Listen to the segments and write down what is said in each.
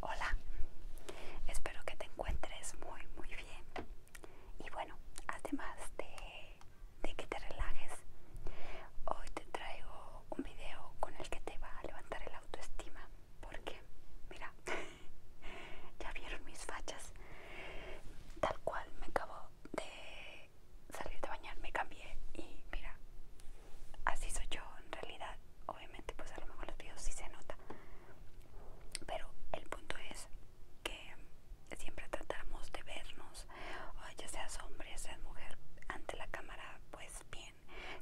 Hola, espero que te encuentres muy muy bien y bueno, además de, que te relajes, hoy te traigo un video con el que te va a levantar el autoestima porque, mira, ya vieron mis fachas, tal cual me acabo de salir de bañar, me cambié y mira, así soy yo en realidad. Obviamente, pues a lo mejor los videos sí se nota. Pero el punto es que siempre tratamos de vernos, ah, ya seas hombre, seas mujer, ante la cámara, pues bien,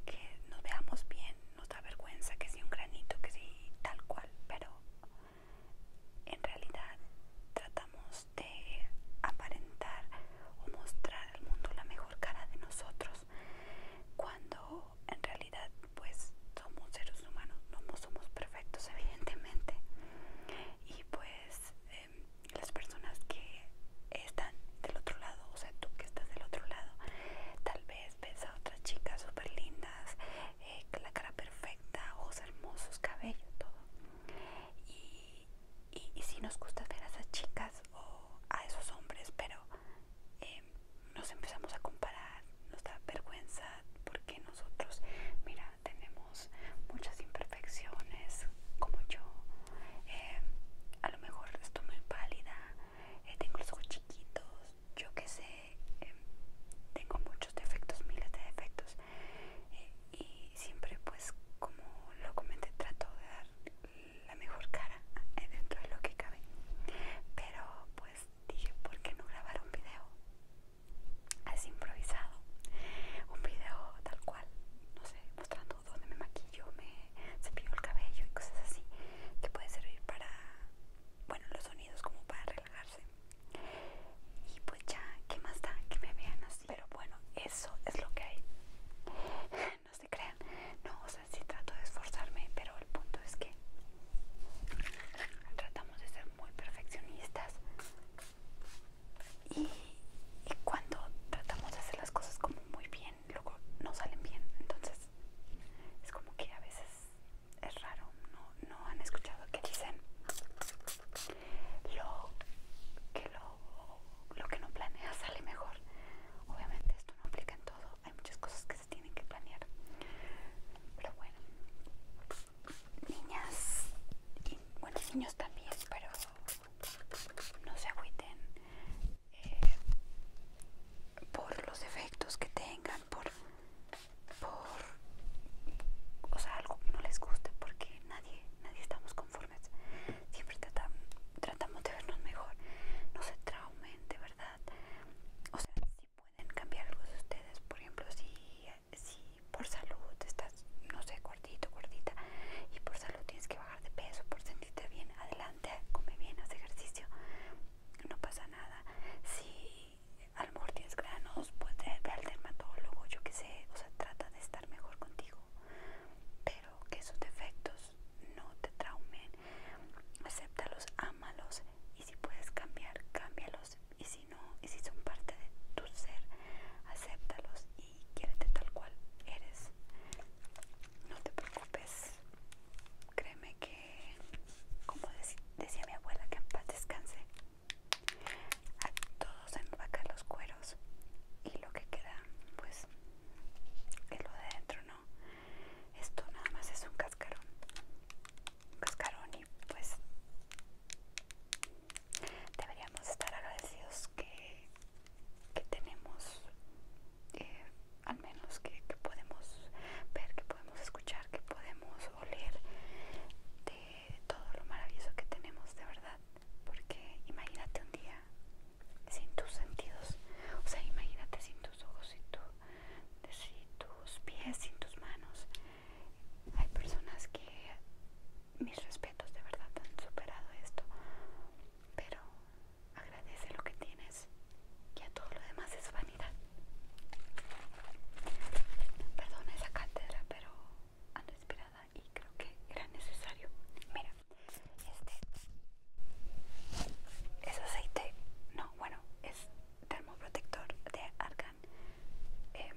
que nos veamos bien, nos da vergüenza, que si un granito, que si tal cual, pero en realidad tratamos de aparentar o mostrar al mundo la mejor cara de nosotros cuando en realidad pues somos seres humanos, no somos perfectos evidentemente y pues em, las personas que están del otro lado, o sea tú que estás del otro lado, tal vez ves a otras chicas súper lindas, con eh, la cara perfecta, ojos hermosos, cabello, todo y, y, si nos gusta ver a esas chicas o a esos hombres, pero em, nos empezamos a comparar, nos da vergüenza porque nosotros, mira, tenemos muchas imperfecciones como yo. Eh, a lo mejor estoy muy pálida, eh, tengo los ojos chiquitos, yo qué sé, eh, tengo muchos defectos, miles de defectos. y siempre pues como lo comenté trato de la mejor cara dentro de lo que cabe. Pero pues dije, ¿por qué no grabar un video? Así improvisado. Un video tal cual, no sé, mostrando dónde me maquillo, me cepillo el cabello y cosas así. Que puede servir para, bueno, los sonidos como para relajarse. Y pues ya, ¿qué más da que me vean así? Pero bueno, eso es lo que hay no se crean. No, o sea, sí trato de esforzarme, pero el punto es que tratamos de ser muy perfeccionistas. Y, cuando tratamos de hacer las cosas como muy bien, luego no salen bien. Entonces, es como que a veces es raro. No, han escuchado que dicen lo que, lo que no planeas sale mejor. Obviamente esto no aplica en todo, hay muchas cosas que se tienen que planear. Pero bueno, niñas y niños también, pero no se agüiten eh, por los efectos que tengan, por, por o sea, algo que no les guste, porque nadie, nadie estamos conformes. Siempre tratamos de vernos mejor. No se aumente, ¿verdad? O sea, si pueden cambiar algo de ustedes, por ejemplo, si, si por salud estás, no sé, gordito, gordita, y por salud tienes que bajar de peso, por sentirte bien, adelante, come bien, haz ejercicio, no pasa nada. Si a lo mejor tienes granos, pues ve al dermatólogo, yo que sé, o sea, trata de estar mejor contigo, pero que esos defectos no te traumen Acéptalos, amalos y si puedes cambiar, cámbialos. Y si no, y si son parte de tu ser, acéptalos y quiérete tal cual eres. No te preocupes. Créeme que, como decía mi abuela, que en paz descanse. A todos vaca los cueros y lo que queda, pues, es lo de adentro, ¿no? esto nada más es un cascarón un cascarón y pues deberíamos estar agradecidos que, tenemos eh, al menos que podemos ver que podemos escuchar que podemos oler de todo lo maravilloso que tenemos de verdad porque imagínate un día sin tus sentidos. O sea, imagínate sin tus ojos, sin, tus pies, sin tus manos. Hay personas que, mis respetos, de verdad han superado esto. Pero agradece lo que tienes y a todo lo demás es vanidad. Perdona esa cátedra, pero ando inspirada y creo que era necesario. Mira, este es aceite, no, bueno, es termoprotector de Argan. Em,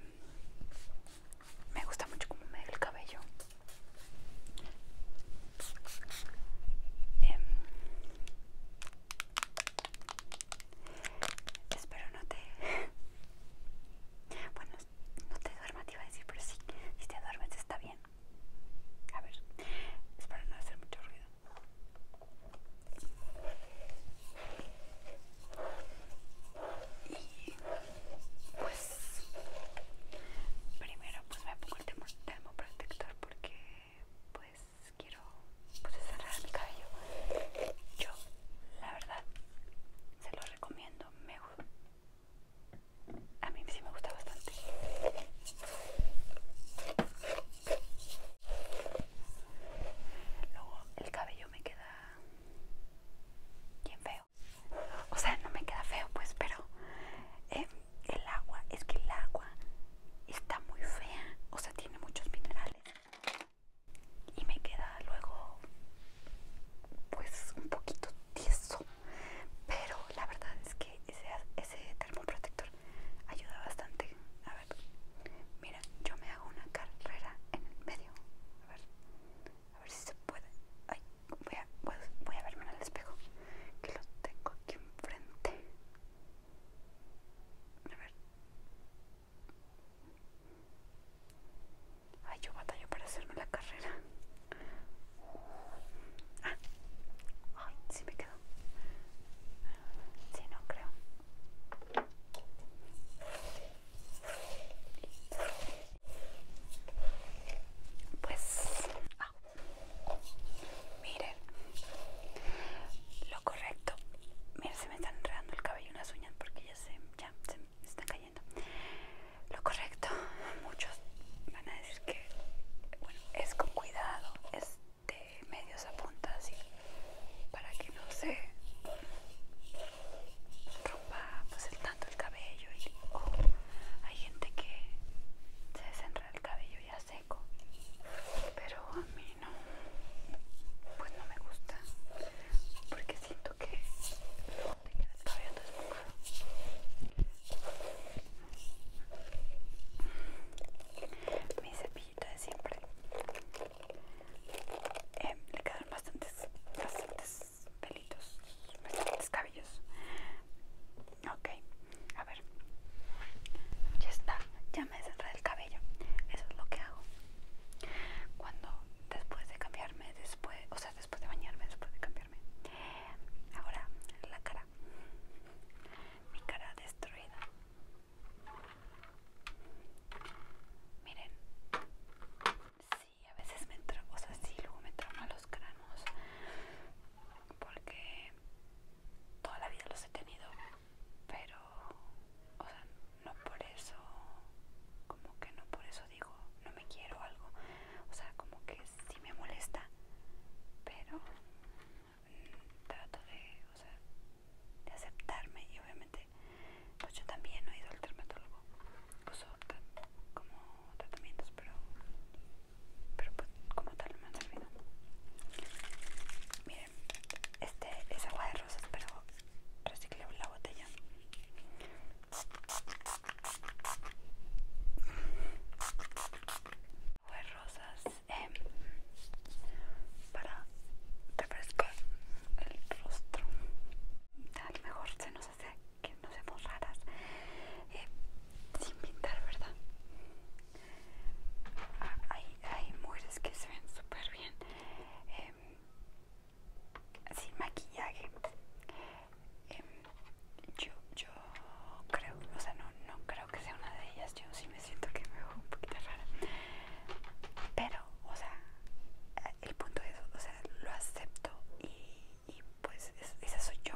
me gusta mucho como me da el cabello. Em, espero no te... Bueno, no te duermas, te iba a decir, pero sí, si te duermes está bien. A ver, es para no hacer mucho ruido. Y pues primero pues me pongo el termoprotector porque pues quiero pues cerrar mi cabello. Yo la verdad se lo recomiendo. Me, a mí sí me gusta bastante. Luego el cabello me queda bien feo. O sea, no me queda feo pues, pero eh, el agua, es que el agua está muy fea. O sea, tiene muchos minerales. Y me queda luego pues un poquito tieso pero la verdad es que ese, termoprotector ayuda bastante. A ver, mira, yo me hago una carrera en el medio. A ver, a ver si se puede. voy a, a verme en el espejo, que lo tengo aquí enfrente. A ver. Ay, yo batallo para hacerme la carrera. Ah, ay, me quedo. Si no creo. Pues, ah, miren, lo correcto. Miren, se me están enredando el cabello y unas uñas porque ya se, ya se están cayendo. Lo correcto, muchos van a es decir que, bueno, es con cuidado, es de medios a puntas así, para que no se rompa pues, el tanto el cabello. Y, hay gente que se desenreda el cabello ya seco, pero a mí no, pues no me gusta, porque siento que mi cepillito de siempre. Eh, le quedan bastantes, bastantes pelitos, bastantes cabellos. Ok, a ver. Ya está, ya me desenredé el cabello. Eso es lo que hago. Cuando después de cambiarme, después, o sea, después de bañarme, después de cambiarme. Ahora la cara mi cara destruida. Miren, sí, a veces me trono o sea, sí, luego me trauma los granos porque toda la vida los he tenido, pero, o sea, no por eso, como que no por eso digo, no me quiero algo, o sea como que sí me molesta pero mm, trato de o sea de aceptarme y obviamente pues yo también he ido al dermatólogo uso como tratamientos pero pero pues como tal no me han servido miren este es agua de rosas pero reciclé la botella pues rosas em, para refrescar el rostro. A mejor se nos hace que nos vemos raras eh, sin pintar, ¿verdad? Ah, hay, hay mujeres que se ven súper bien em, sin maquillaje Em, yo, yo creo, o sea, no, no creo que sea una de ellas, yo sí me siento que me veo un poquito rara, pero, o sea, el punto es, o sea, lo acepto y, pues esa soy yo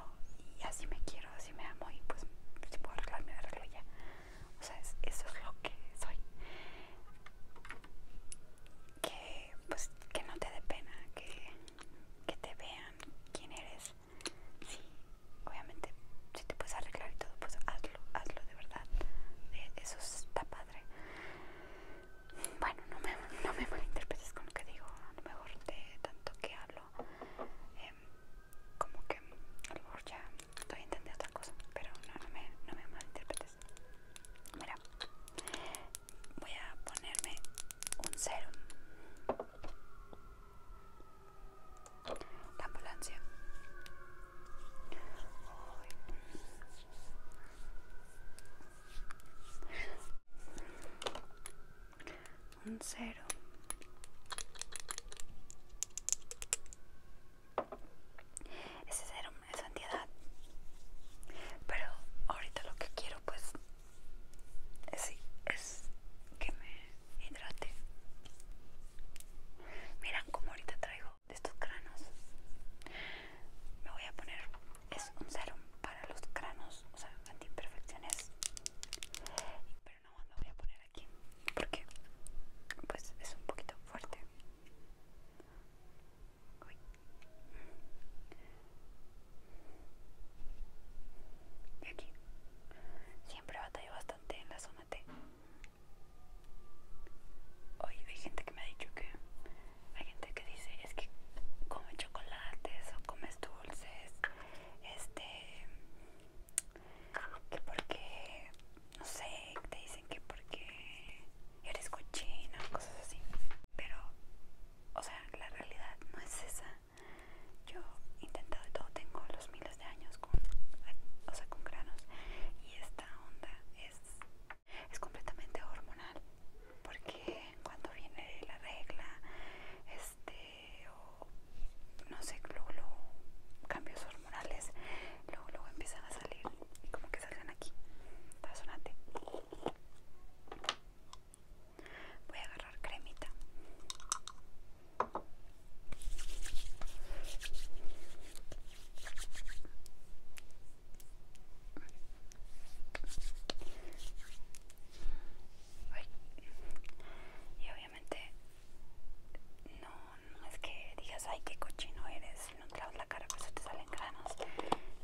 y así me quiero, así me amo y pues si puedo arreglarme, arreglo ya, o sea, eso es lo que soy. Que, pues, que no te dé pena, que, que te vean quién eres sí, obviamente si te puedes arreglar y todo, pues hazlo, hazlo de verdad. Eh, eso está padre. Bueno, no me, no me malinterpretes con lo que digo, a lo mejor de tanto que hablo, em, como que a lo mejor ya estoy entendiendo otra cosa, pero no, no, me, no me malinterpretes. Mira, voy a ponerme un serum la ambulancia. Un cero. Ese cero es santidad, Pero ahorita lo que quiero pues así es que me hidrate. Miran como ahorita traigo de estos cranos. Me voy a poner, es un serum para los cranos, o sea, antiimperfecciones Pero no, lo voy a poner aquí porque pues es un poquito fuerte. Y aquí. Siempre batallé bastante en la zona T. Hoy hay gente que me ha dicho que hay gente que dice es que come chocolates o comes dulces. Este que porque no sé, te dicen que porque eres cochina o cosas así. Pero o sea, la realidad no es esa. Yo he intentado y todo, tengo los miles de años con, o sea, con granos y esta onda es, es completamente hormonal porque cuando viene la regla, este, o no sé, luego, cambios hormonales, luego, luego empiezan a salir y como que salgan aquí, razonate. Voy a agarrar cremita. Y obviamente no, es que digas ay qué cochino eres, no te lavas la cara por eso te salen granos.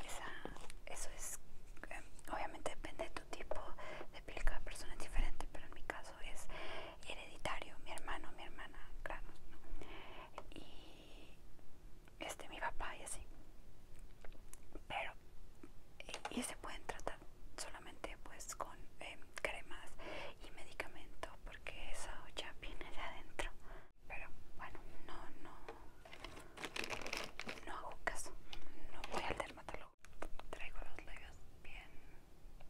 Esa, eso es em, obviamente depende de tipo de piel, cada persona es diferente, pero en mi caso es hereditario, mi hermano, mi hermana, claro, Y este, mi papá y así. Pero, y se pueden tratar solamente pues con em, cremas y medicamento, porque eso ya viene de adentro. Pero bueno, no, no, no hago caso, no voy al dermatólogo. Traigo los labios bien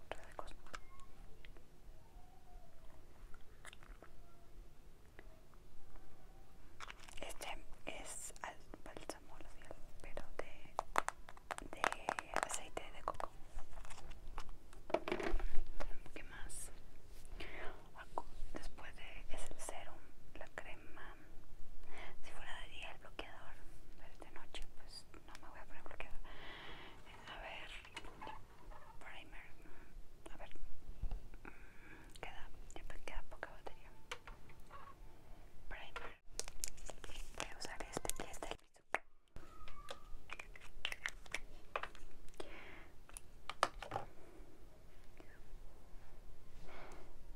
resecos. Este es al bálsamo pero de, aceite de coco. ¿Qué más? Después de es el serum, la crema si fuera de día el bloqueador, de noche pues no me voy a poner bloqueador. Eh, a ver, primer, mm, a ver, mm, queda, queda poca batería. Primer, voy a usar este que es del Mizuka.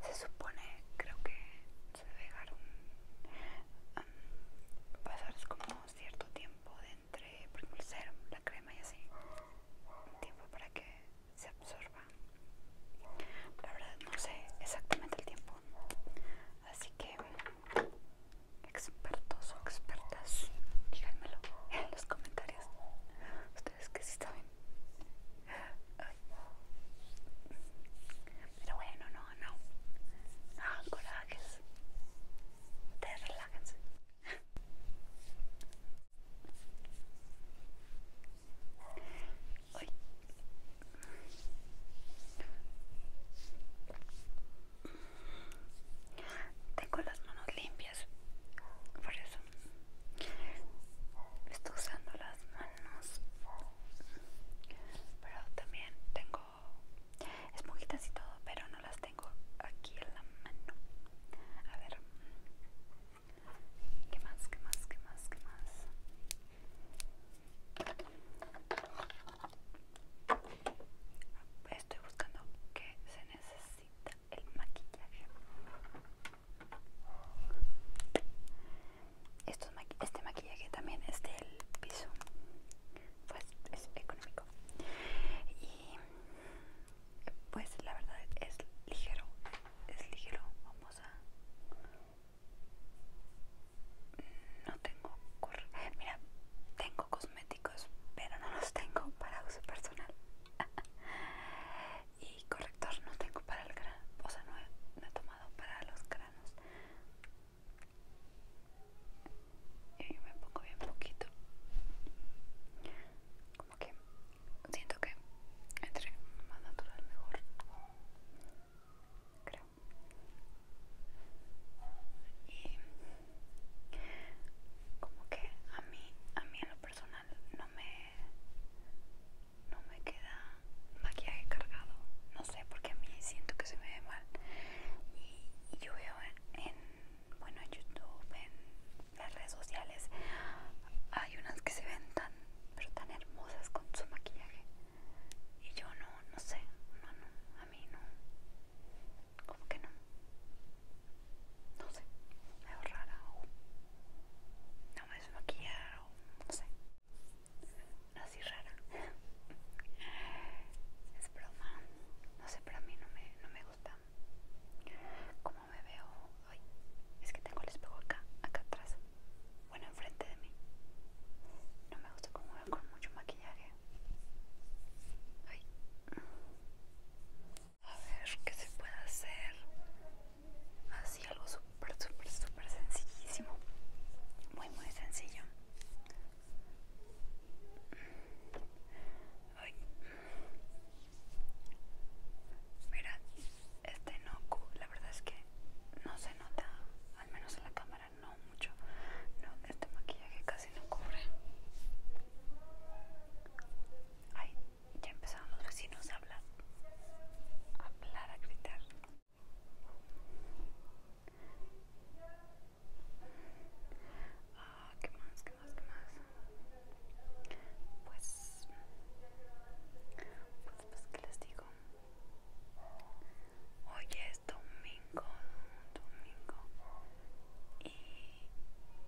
Se supone, creo que se dejaron um, pasar como cierto tiempo de entre el la crema y así, un tiempo para que se absorba. La verdad no sé exactamente el tiempo, así que expertos o expertas, díganmelo en los comentarios. Ustedes que sí saben. Pero bueno, no, no. No ah, corajes. Tengo las manos limpias, por eso Estoy usando las manos, pero también tengo esponjitas y todo, pero no las tengo aquí en la mano. A ver, ¿qué más? ¿Qué más? ¿Qué más? ¿Qué más? Estoy buscando que se necesita el maquillaje este maquillaje también es del piso pues es económico y pues la verdad es ligero es ligero vamos a no tengo mira tengo cosméticos pero no los tengo para uso personal y y corrector no tengo para el gran o sea, no he, tomado para los granos. Y me pongo bien poquito. Como que siento que entre más natural mejor. Creo. Y como que a mí, a mí en lo personal no me no me queda maquillaje cargado. No sé, porque a mí siento que se me ve mal. Y, yo veo en, bueno, en YouTube, en las redes sociales, hay unas que se ven tan, pero tan hermosas con su maquillaje. Y yo no, no sé, no, no, a mí no. Como que no. No sé, me veo rara no me o no sé así rara es broma no sé pero a mí no me, no me gusta como me veo hoy es que tengo el espejo acá acá atrás bueno enfrente de mí no me gusta como veo con mucho maquillaje Ay. a ver qué se puede hacer así algo súper, súper, súper sencillísimo, muy, muy sencillo. Mira, este no, la verdad es que no se nota, al menos en la cámara no mucho, no, este maquillaje casi no cubre. Ay, ya empezaron los vecinos a hablar, a hablar, a gritar. Ah, ¿qué más? ¿Qué más? ¿Qué más? Pues, pues, pues ¿qué les digo? Hoy es domingo, domingo, y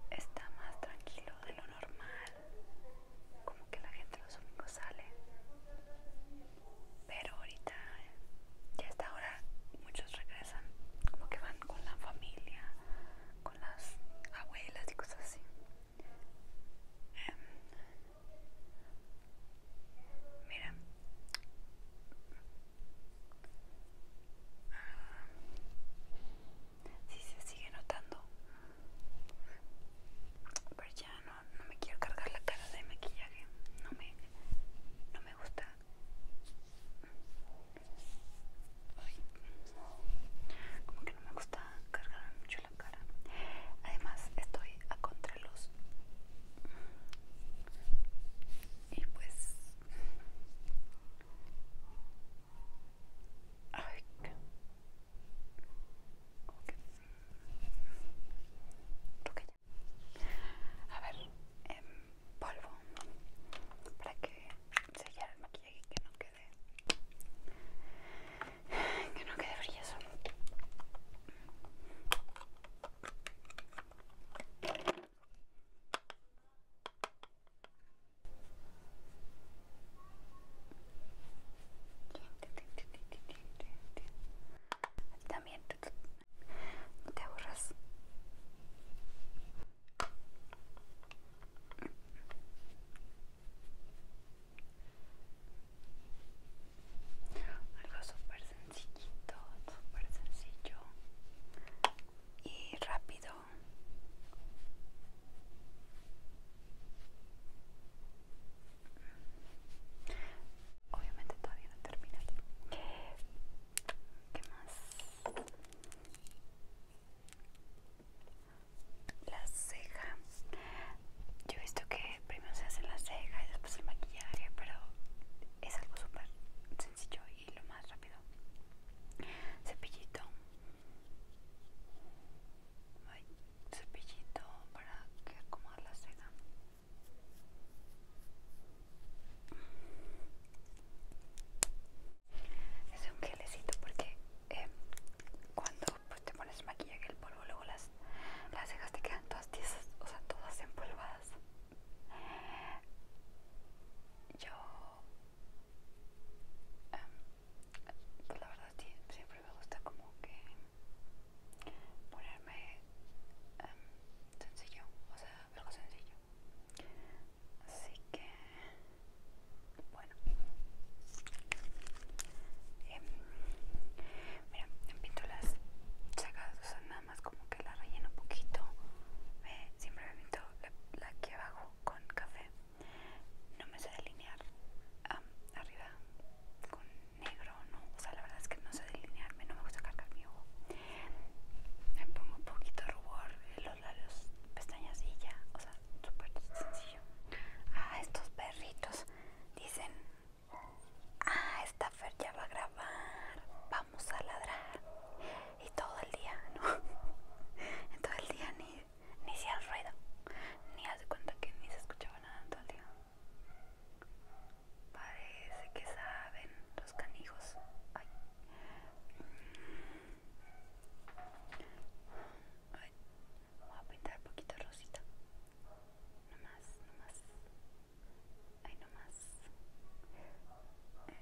está más tranquilo de lo normal como que la gente los domingos sale pero ahorita ya hasta ahora muchos regresan como que van con la familia con las abuelas y cosas así em, mira ah, si se sigue notando pero ya no, me quiero cargar la cara de maquillaje no me, no me gusta como que no me gusta cargar mucho la cara además estoy a contra contraluz y pues a ver, em, polvo para que selle el maquillaje y que no quede que no quede frío. También no te aburras. Algo súper sencillito, súper sencillo y rápido. Obviamente todavía no termina terminado. ¿Qué más? La ceja. Yo he visto que primero se hace la ceja y después el maquillaje, pero es algo súper sencillo y lo más rápido. Cepillito. Hay cepillito para que acomode la cena. Es un gelecito porque eh, cuando pues, te pones maquillaje el polvo, luego las, las cejas te quedan todas tiesas, o sea, todas empolvadas. Yo em, pues la verdad siempre me gusta como que ponerme em, sencillo, o sea, algo sencillo. Así que, bueno, em, mira, pinto las chacas, o sea, nada más como que la relleno un poquito. siempre me pinto la, la aquí abajo con café no me sé delinear arriba con negro, no, o sea, la verdad es que no sé delinearme, no me gusta cargar mi ojo. Me pongo un poquito rubor en eh, los labios, pestañas y ya, o sea, súper sencillo. Ah, estos perritos dicen, ah, esta Fer ya va a grabar, vamos a ladrar. Y todo el día, ¿no? todo el día ni ni si al ruido, ni hace cuenta que ni se escuchaba nada todo el día. Parece que saben los canijos. Ay. Voy a pintar un poquito rosita. No más, no más. no más. Eh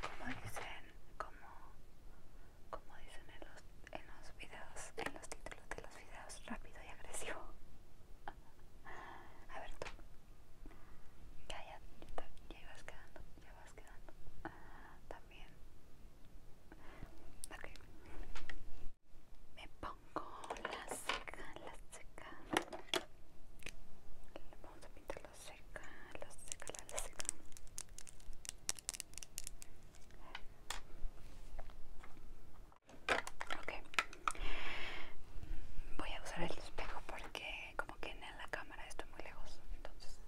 como dicen como, como dicen en los, en los videos en los títulos de los videos rápido y agresivo a ver tú ya ya ya ibas quedando ya vas quedando también ok me pongo las, las seca vamos a pintarlo seca la seca la seca ok voy a usar el espejo porque como que en la cámara estoy muy lejos entonces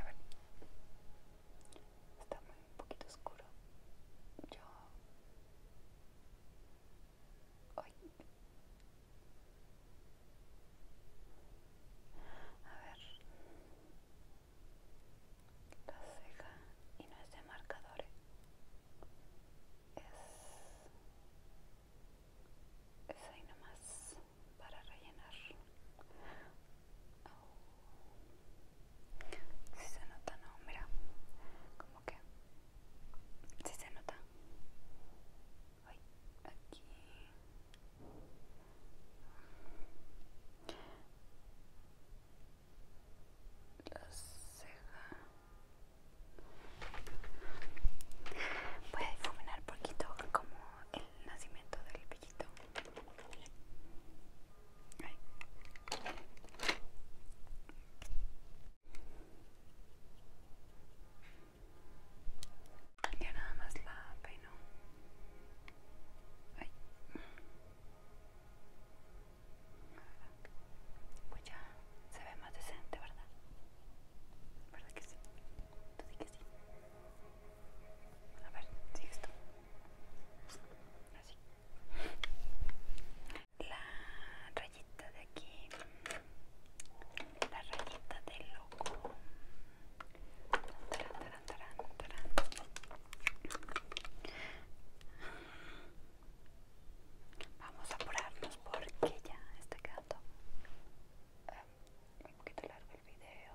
a ver está muy un poquito oscuro yo a ver. La ceja y no es de marcadores. Es, es ahí nomás para rellenar. Si se nota, no, mira, como que si se nota aquí la ceja voy a difuminar poquito como el nacimiento del pellito ya nada más la peino. Ay. Pues ya se ve más decente, ¿verdad? ¿Verdad que sí? Tú sí que sí. A ver, sigue esto. Así la rayita de aquí, la rayita del loco. Vamos a apurarnos porque ya está quedando eh, un poquito largo el video.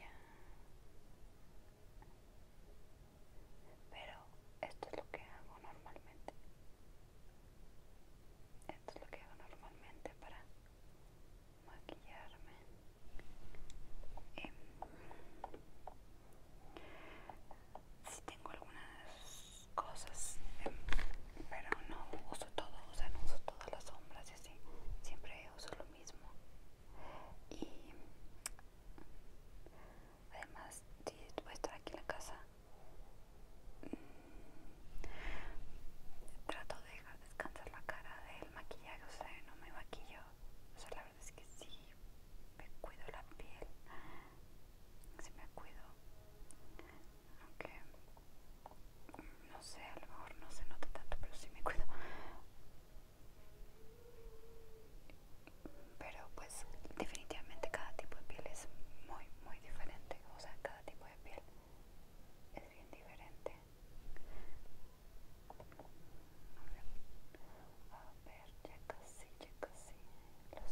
Ya pero esto es lo que hago normalmente esto es lo que hago normalmente para maquillarme em, si tengo algunas cosas em, pero no uso todo o sea no uso todas las sombras y así siempre uso lo mismo y Además, si voy a estar aquí en la casa, mm, trato de dejar descansar la cara del maquillaje, o sea, no me maquillo. O sea, la verdad es que sí, me cuido la piel, sí me cuido. Aunque, no sé, a lo mejor no se nota tanto, pero sí me cuido pero pues definitivamente cada tipo de piel es muy muy diferente o sea cada tipo de piel es bien diferente a ver ya casi ya casi lo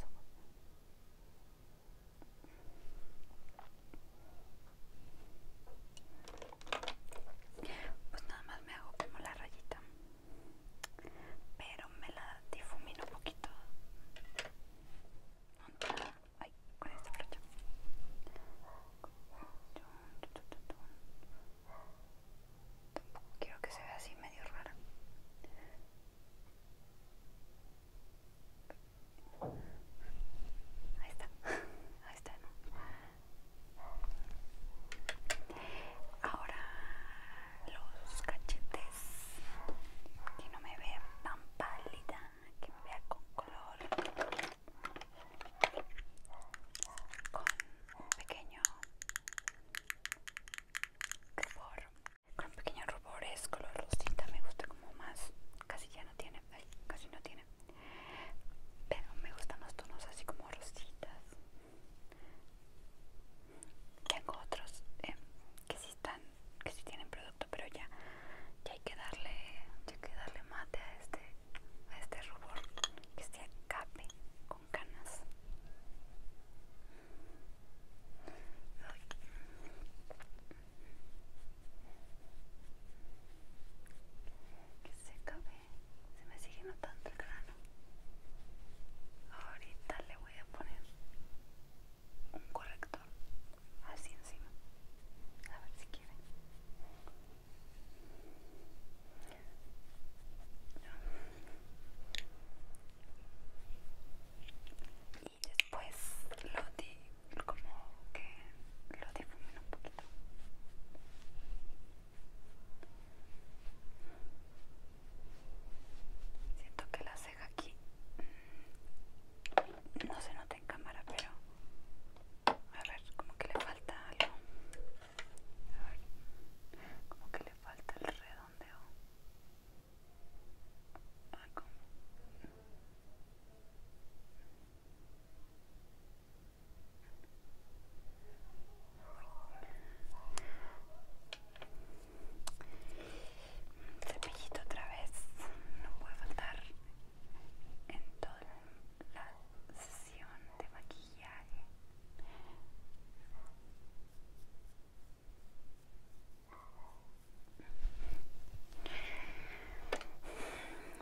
ojos pues nada más me hago como la rayita pero me la difumino un poquito Ay, con esta brocha tampoco quiero que se vea así medio rara ahí está ahí está ¿no? ahora los cachetes que no me vean tan pálida que me vea con color con un pequeño rubor con pequeños rubores color rosita me gusta como más casi ya no tiene casi no tiene pero me gustan los tonos así como rositas tengo otros eh, que si están, que si tienen producto, pero ya, hay que darle, que darle mate a este, a este rubor, que se acabe con canas. Que se acabe, se me sigue notando el Ahorita le voy a poner un corrector así encima. A ver si quieren. Y después lo de como que lo difumino un poquito. Siento que la ceja aquí no se nota en cámara, pero a ver, como que le falta algo. como que le falta el redondeo. Cepillito otra vez, no puede faltar en toda la sesión de maquillaje.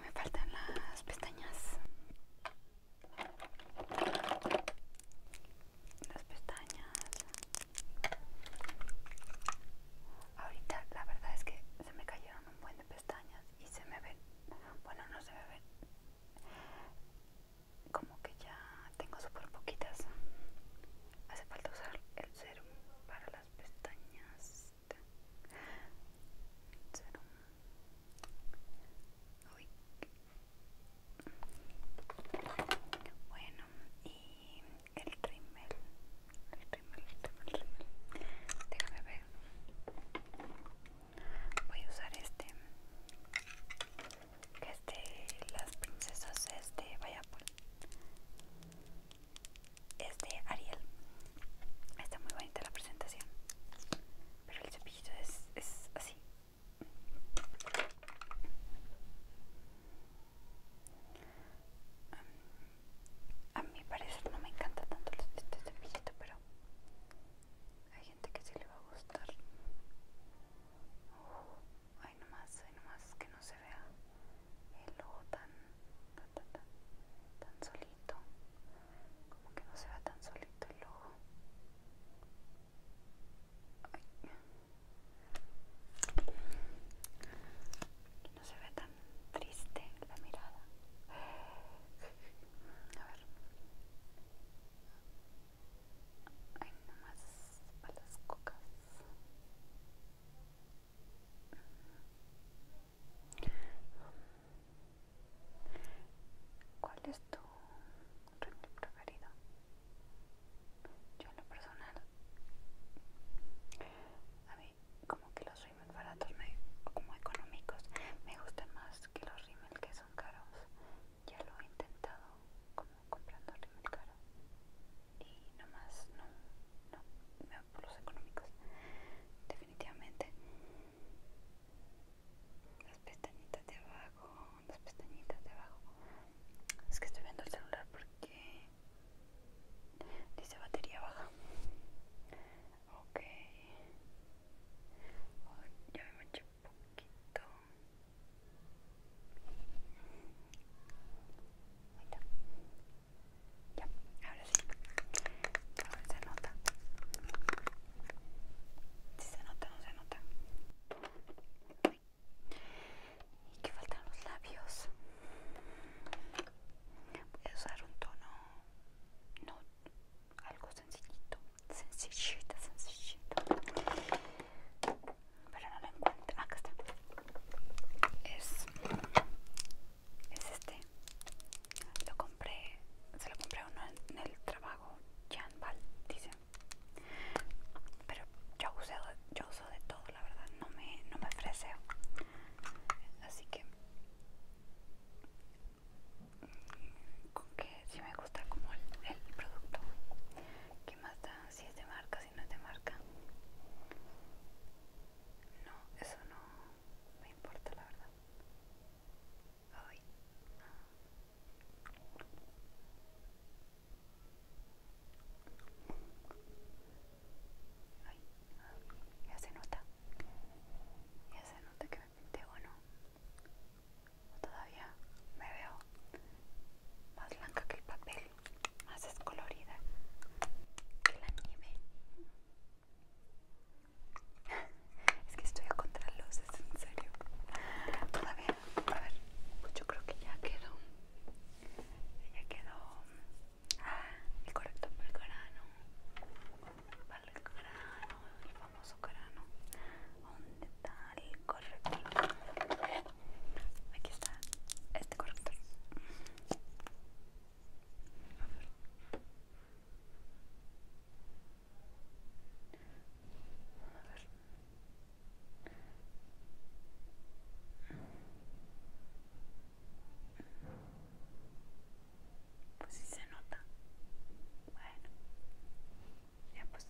Me faltan las pestañas las pestañas. Ahorita la verdad es que se me cayeron un buen de pestañas y se me ven, bueno no se me ven, como que ya tengo súper poquitas. Hace falta usar el serum para las pestañas. Serum. Bueno, y el rímel, el rimel, el rimel, el rímel. Déjame ver. Voy a usar este. Que es de las princesas, es de por Es de Ariel. Está muy bonita la presentación. Pero el cepillo es, es así. A mi parecer no me encanta tanto este, este, este cepillito, pero hay gente que sí le va a gustar. hay ay, nomás, ay, nomás que no se vea el ojo tan, tan, tan, tan solito. Como que no se vea tan solito el ojo. No se ve tan triste la mirada. A ver. Hay nomás para cocas. ¿Cuál es tu preferido. Yo en lo personal, a mí como que los rímel baratos, me, como económicos, me gustan más que los rímel que son caros. Ya lo he intentado como comprando rímel caro y nomás no, no, me voy por los económicos. Definitivamente las pestañitas de abajo, las pestañitas de abajo. Es que estoy viendo el celular porque dice batería baja. Ok, ya me manché un poquito. Ya, ahora sí. A ver, se nota. Si se nota, no se nota y que faltan los labios voy a usar un tono no algo sencillito Sencillita sencillito pero no lo encuentro ah, acá está es es este lo compré se lo compré uno en el trabajo Jan dice pero yo uso, yo uso de todo, la verdad, no me, no Así que, con que si me gusta como el, producto. ¿Qué más da? Si es de marca, si no es de marca. No, eso no me importa, la verdad. Ay. ya se nota. Ya se nota que me pinté o no. todavía me veo más blanca que el papel, más descolorida que la nieve. Es que estoy a luces, en serio. Todavía, a ver, pues yo creo que ya quedó. Ya quedó. Ah, el corrector para el corano. Para el corano, el famoso corano. ¿Dónde está el corrector? Aquí está este corrector. A ver. A ver. Pues sí se nota. Bueno. Ya pues.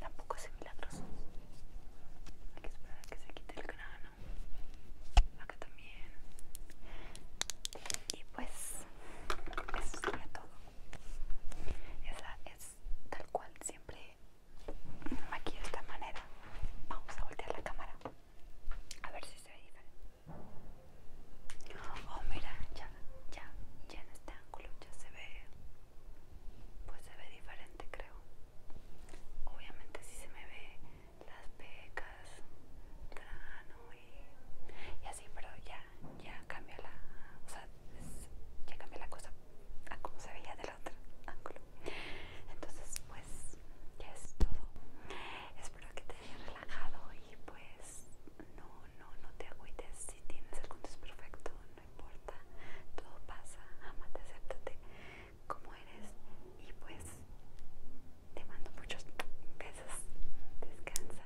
Tampoco es milagroso. Hay que esperar a que se quite el grano. Acá también. Y pues eso sería todo. Esa es tal cual, siempre aquí de esta manera. Vamos a voltear la cámara. A ver si se ve diferente. Oh, mira, ya, ya, ya en este ángulo ya se ve. Pues se ve diferente, creo. Obviamente si se me ve las pecas, grano y así, pero ya ya, cambia la, ya la cosa a como se veía del otro ángulo. Entonces, pues, ya es todo. Espero que te haya relajado y pues, no, no, no te agüites. Si tienes algún desperfecto, no importa, todo pasa. Amate, acéptate como eres y pues, te mando muchos besos. Descansa.